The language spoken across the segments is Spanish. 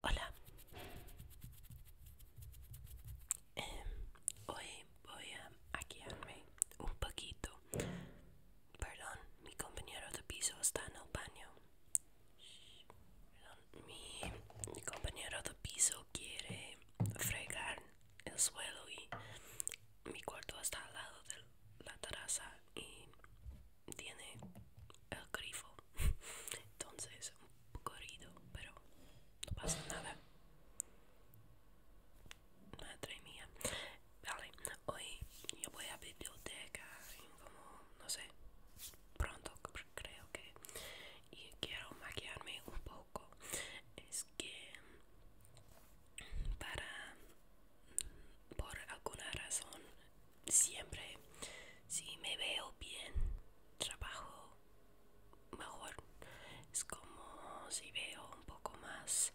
Hola. Em, hoy voy a quedarme un poquito. Perdón, mi compañero de piso está en el baño. Perdón, mi, mi compañero de piso quiere fregar el suelo y mi cuarto está al lado de la terraza y tiene el grifo entonces un poco pero no pasa nada madre mía vale hoy yo voy a biblioteca como no sé pronto creo que y quiero maquillarme un poco es que para por alguna razón siempre si me veo bien trabajo mejor es como si veo un poco más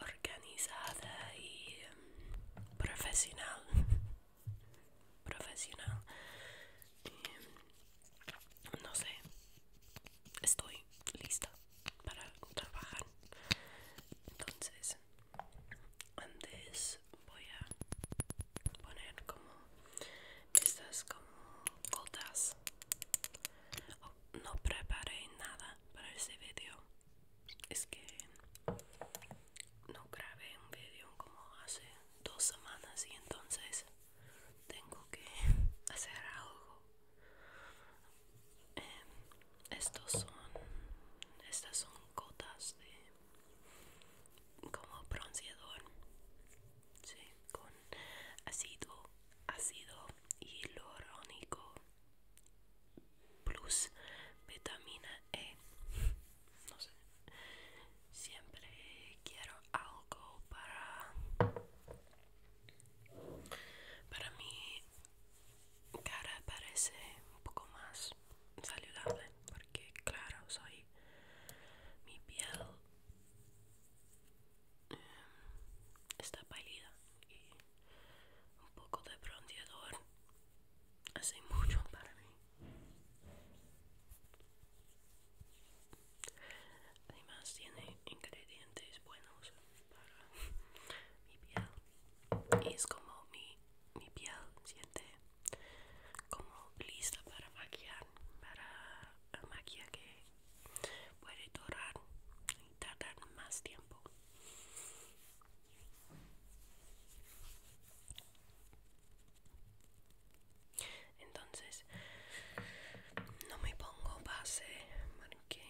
organizada y em, profesional profesional em, no sé estoy lista para trabajar entonces antes voy a poner como estas como cotas no preparé nada para este vídeo es que no grabé un vídeo como hace dos semanas y entonces tengo que hacer algo em, estos son estas son cotas de como bronceador sí, con ácido ácido hialurónico plus vitamina E no sé siempre quiero algo para para mi cara parece un poco más saludable porque claro soy mi piel em, está pálida y un poco de bronceador hace mucho para mí además tiene ingredientes buenos para mi piel y es como mi, mi piel siente como lista para maquillar para maquillar que puede durar y tardar más tiempo entonces no me pongo base porque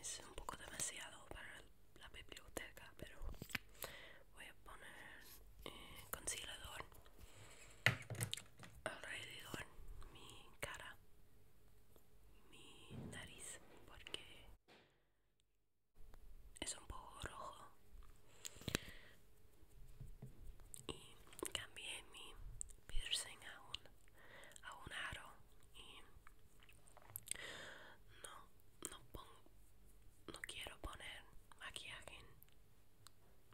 es un poco demasiado para la biblioteca pero voy a poner eh, concealador alrededor mi cara mi nariz porque es un poco rojo y cambié mi piercing a un, a un aro y no, no pongo, no quiero poner maquillaje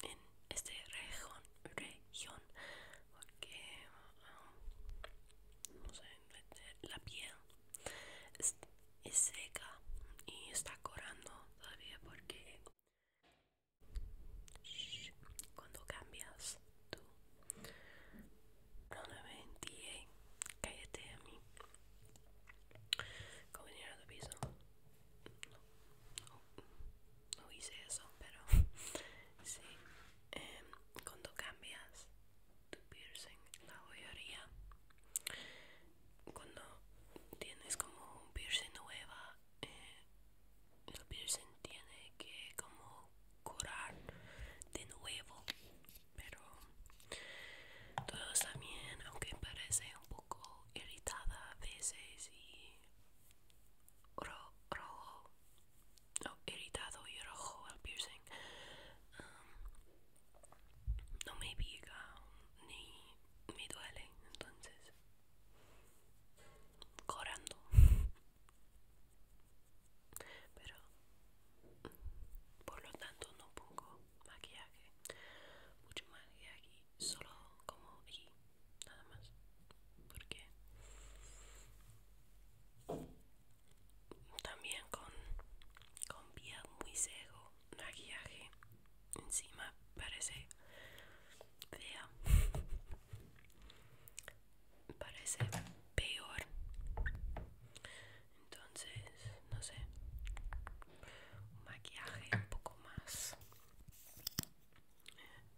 en, este región, región porque um, la piel es, seca y está corando todavía porque cuando cambias tú no, me mentí, cállate a mí. Como vinieron a piso. No, no, hice eso, pero sí. Em, cuando cambias tu piercing, la joyería, cuando tienes como un piercing nueva, eh, el piercing tiene que como curar de nuevo pero todos también aunque parece un poco irritada a veces y ro rojo, no, irritado y rojo al piercing. Um, no me pica ni me duele, entonces, corando pero mm, por lo tanto no pongo maquillaje mucho maquillaje solo como aquí, nada más porque también con con piel muy seco maquillaje encima parece fea parece peor entonces no sé un maquillaje un poco más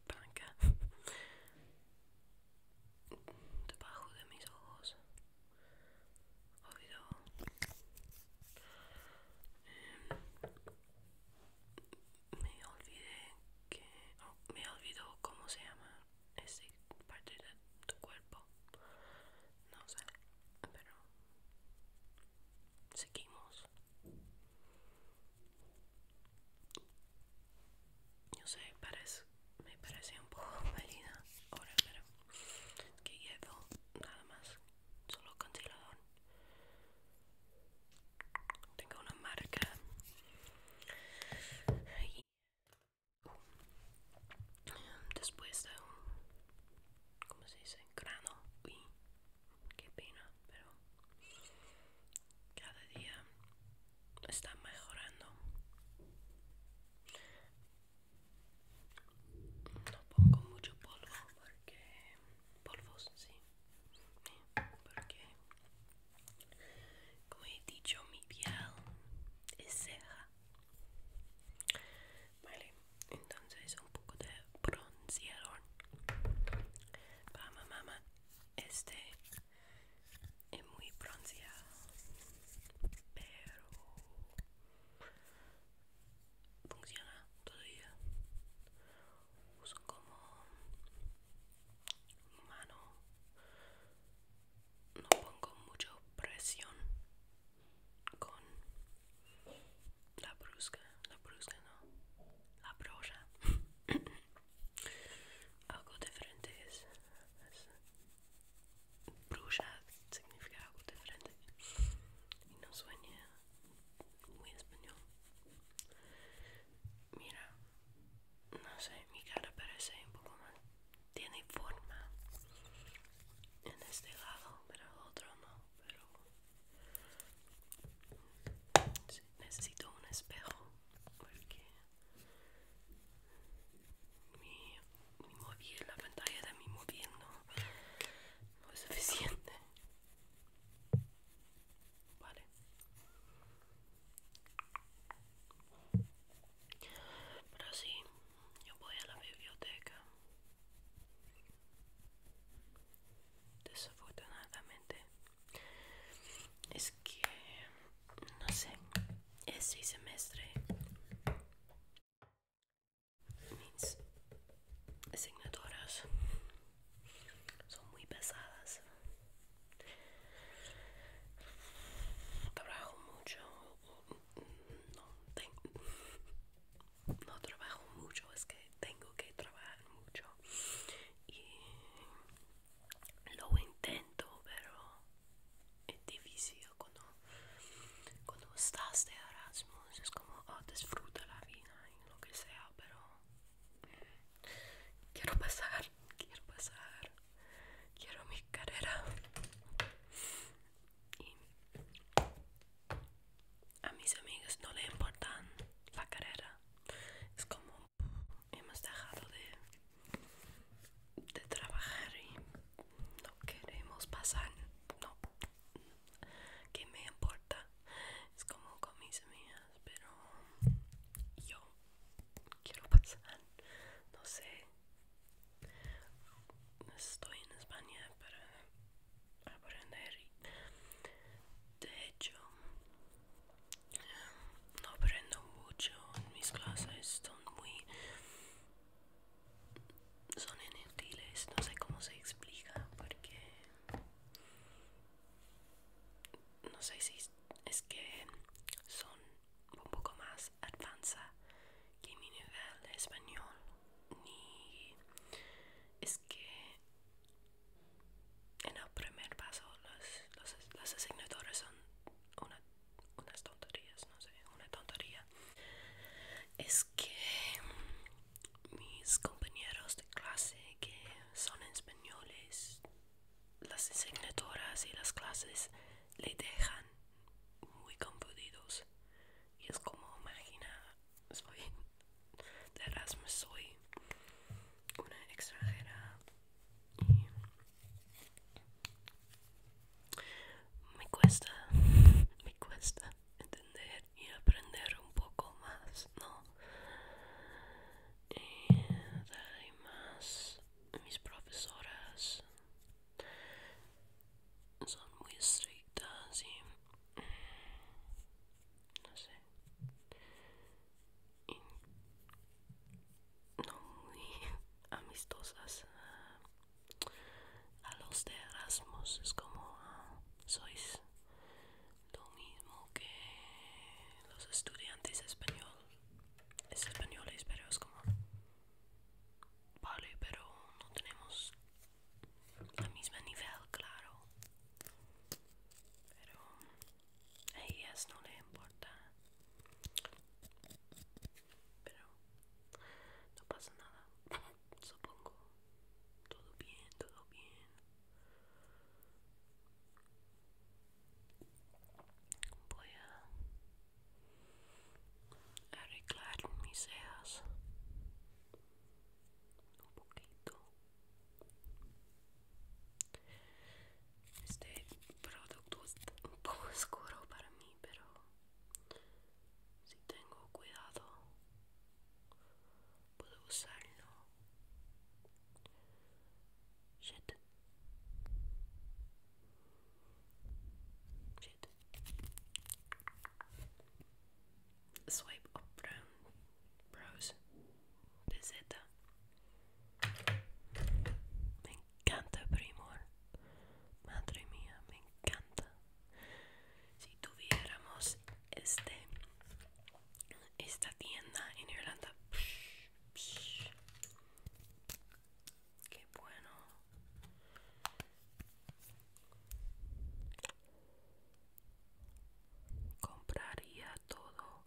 blanca debajo de mis ojos em, me olvidé que oh, me olvidó cómo se llama esa parte de tu cuerpo no sé pero seguimos yo sé parece me parece un poco válida ahora pero que llevo nada más solo congelador tengo una marca después de un ¿cómo se dice? grano qué pena pero cada día está mejorando no pongo mucho polvo porque polvos sí porque como he dicho, mi piel es ceja. Vale, entonces un poco de bronceador. Para mamá, este es muy bronceado, pero funciona todavía. Uso como mano no pongo mucha presión con la brusca, la brusca no, la brocha. algo diferente es, bruja significa algo diferente y no sueña muy español. Mira, no sé, mi cara parece un poco más tiene forma en este lado, pero el otro no. Pero necesito un espejo porque mi, mi móvil, la pantalla de mi móvil no, no es suficiente. Vale. Pero sí, yo voy a la biblioteca. Desafortunadamente, es que no sé, este semestre mis asignaturas son muy pesadas Trabajo mucho, no, trabajo mucho, es que tengo que trabajar mucho y lo intento, pero es difícil cuando, cuando estás de Erasmus, es como oh, disfruta la vida y lo que sea, pero quiero pasar, quiero pasar quiero mi carrera y a mis amigas no le importan la carrera es como hemos dejado de, de trabajar y no queremos pasar no que me importa es como con mis amigas pero yo quiero pasar, no sé, estoy en España para aprender. De hecho, no aprendo mucho mis clases, son muy... son inútiles, no sé cómo se explica porque... No sé si es que son un poco más avanza que mi nivel de español ni es que en el primer paso los, los, son unas tonterías no sé una tontería es que mis compañeros de clase que son españoles las asignaturas y las clases le dejan muy confundidos y es como imagina soy de Erasmus soy una extranjera y me cuesta me cuesta entender y aprender un poco más no y eh, hay más mis profesoras son muy estrictas y mm, no sé y no muy amistosas a los de Erasmus es como ah, sois lo mismo que los estudiantes español es españoles, pero es como vale, pero no tenemos la misma nivel, claro. Pero a ellas no le importa. Pero no pasa nada, supongo. Todo bien, todo bien voy a arreglar mis cejas un poquito este producto es un poco oscuro para mí pero si tengo cuidado puedo usarlo Swipe up brown brows de Me encanta Primor. Madre mía, me encanta. Si tuviéramos este esta tienda en Irlanda, Qué bueno. Compraría todo.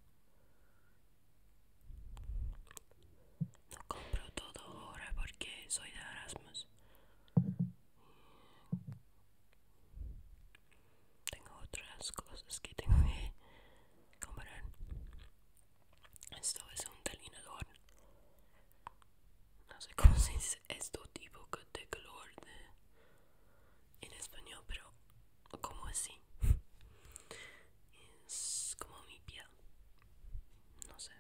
No compro todo ahora porque soy de Erasmus tengo otras cosas que tengo que comprar. Esto es un delineador. No sé cómo se dice esto tipo de color de, en español, pero como así. Es como mi piel. No sé.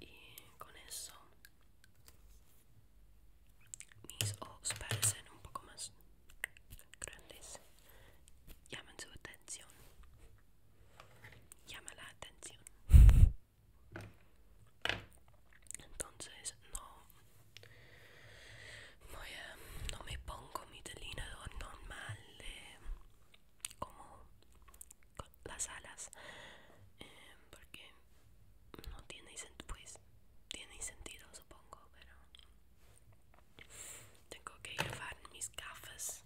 Y con eso mis ojos parecen un poco más grandes. Llaman su atención. Llama la atención. Entonces no no me pongo mi delineador normal de como con las alas em, porque no tiene pues tiene sentido supongo pero tengo que llevar mis gafas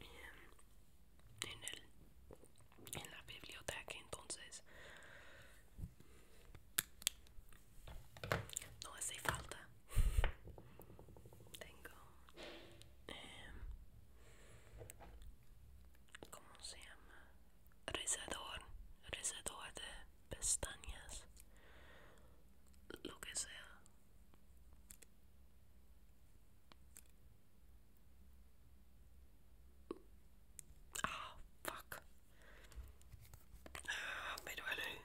em, en el en la biblioteca entonces no hace falta tengo eh, ¿cómo se llama? rizador rezador de pestañas, lo que sea. Ah, fuck. Ah, me duele.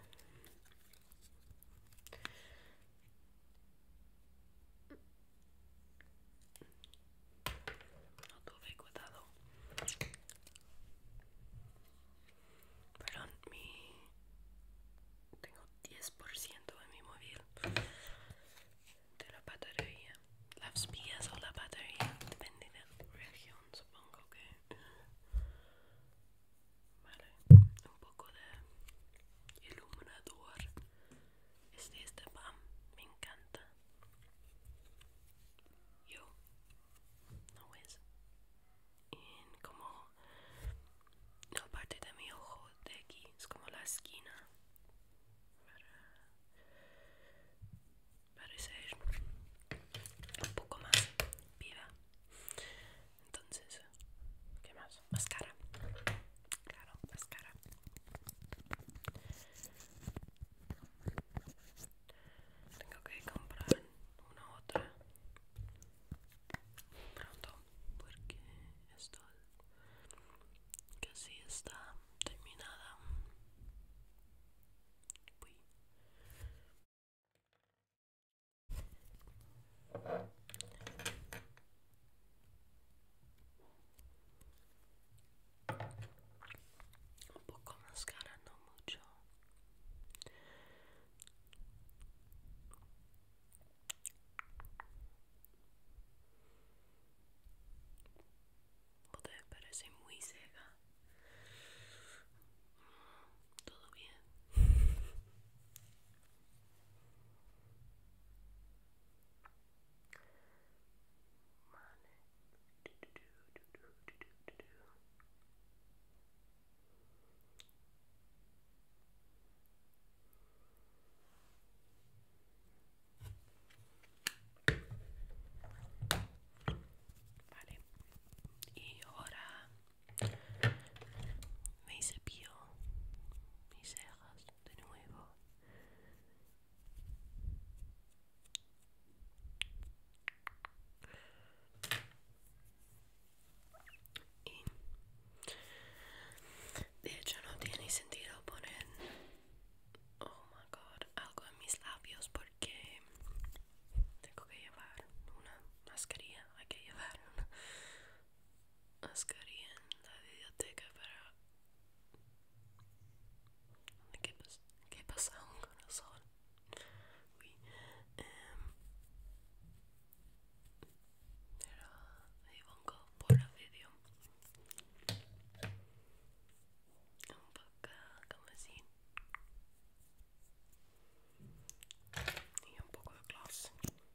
No tuve cuidado. Perdón, mi... Tengo 10% de mi móvil de la batería. Las vías o la batería, depende de la región, supongo que... Vale, un poco de iluminador es de este PAM, me encanta. Yo, no es. En como la parte de mi ojo de aquí, es como la esquina. Para, para ser un poco más viva. Entonces, ¿Qué más? Mascara. Claro, mascara. Tengo que comprar una otra pronto porque esto casi está terminada. Un poco más cara, no mucho. te parece muy seca. Mm, todo bien. Vale, y ahora me cepillo mis cejas. de nuevo y de hecho no tiene sentido poner oh my god algo en mis labios porque tengo que llevar una mascarilla hay que llevar mascarilla en la biblioteca para... ¿Qué, qué pasa un sol Uy. Um, un poco por el vídeo. Un poco como así. Y un poco de gloss.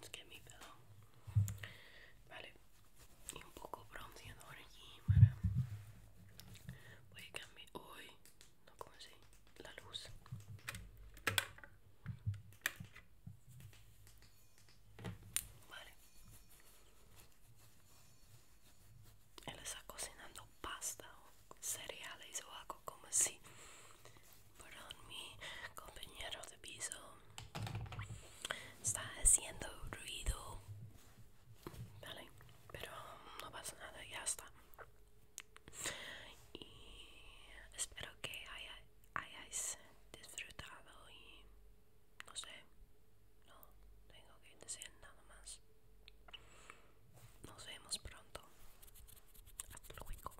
Just get é me pillow. Vale, y un poco bronceador aquí para poder cambiar hoy, no como assim, a luz. Vale. Ela está cocinando pasta ou cereais ou algo como assim. Perdón, mi compañero de piso está haciendo ruido. Vale, pero no pasa nada, ya está. Y espero que hayáis disfrutado y no sé, no tengo que decir nada más. Nos vemos pronto. Hasta luego.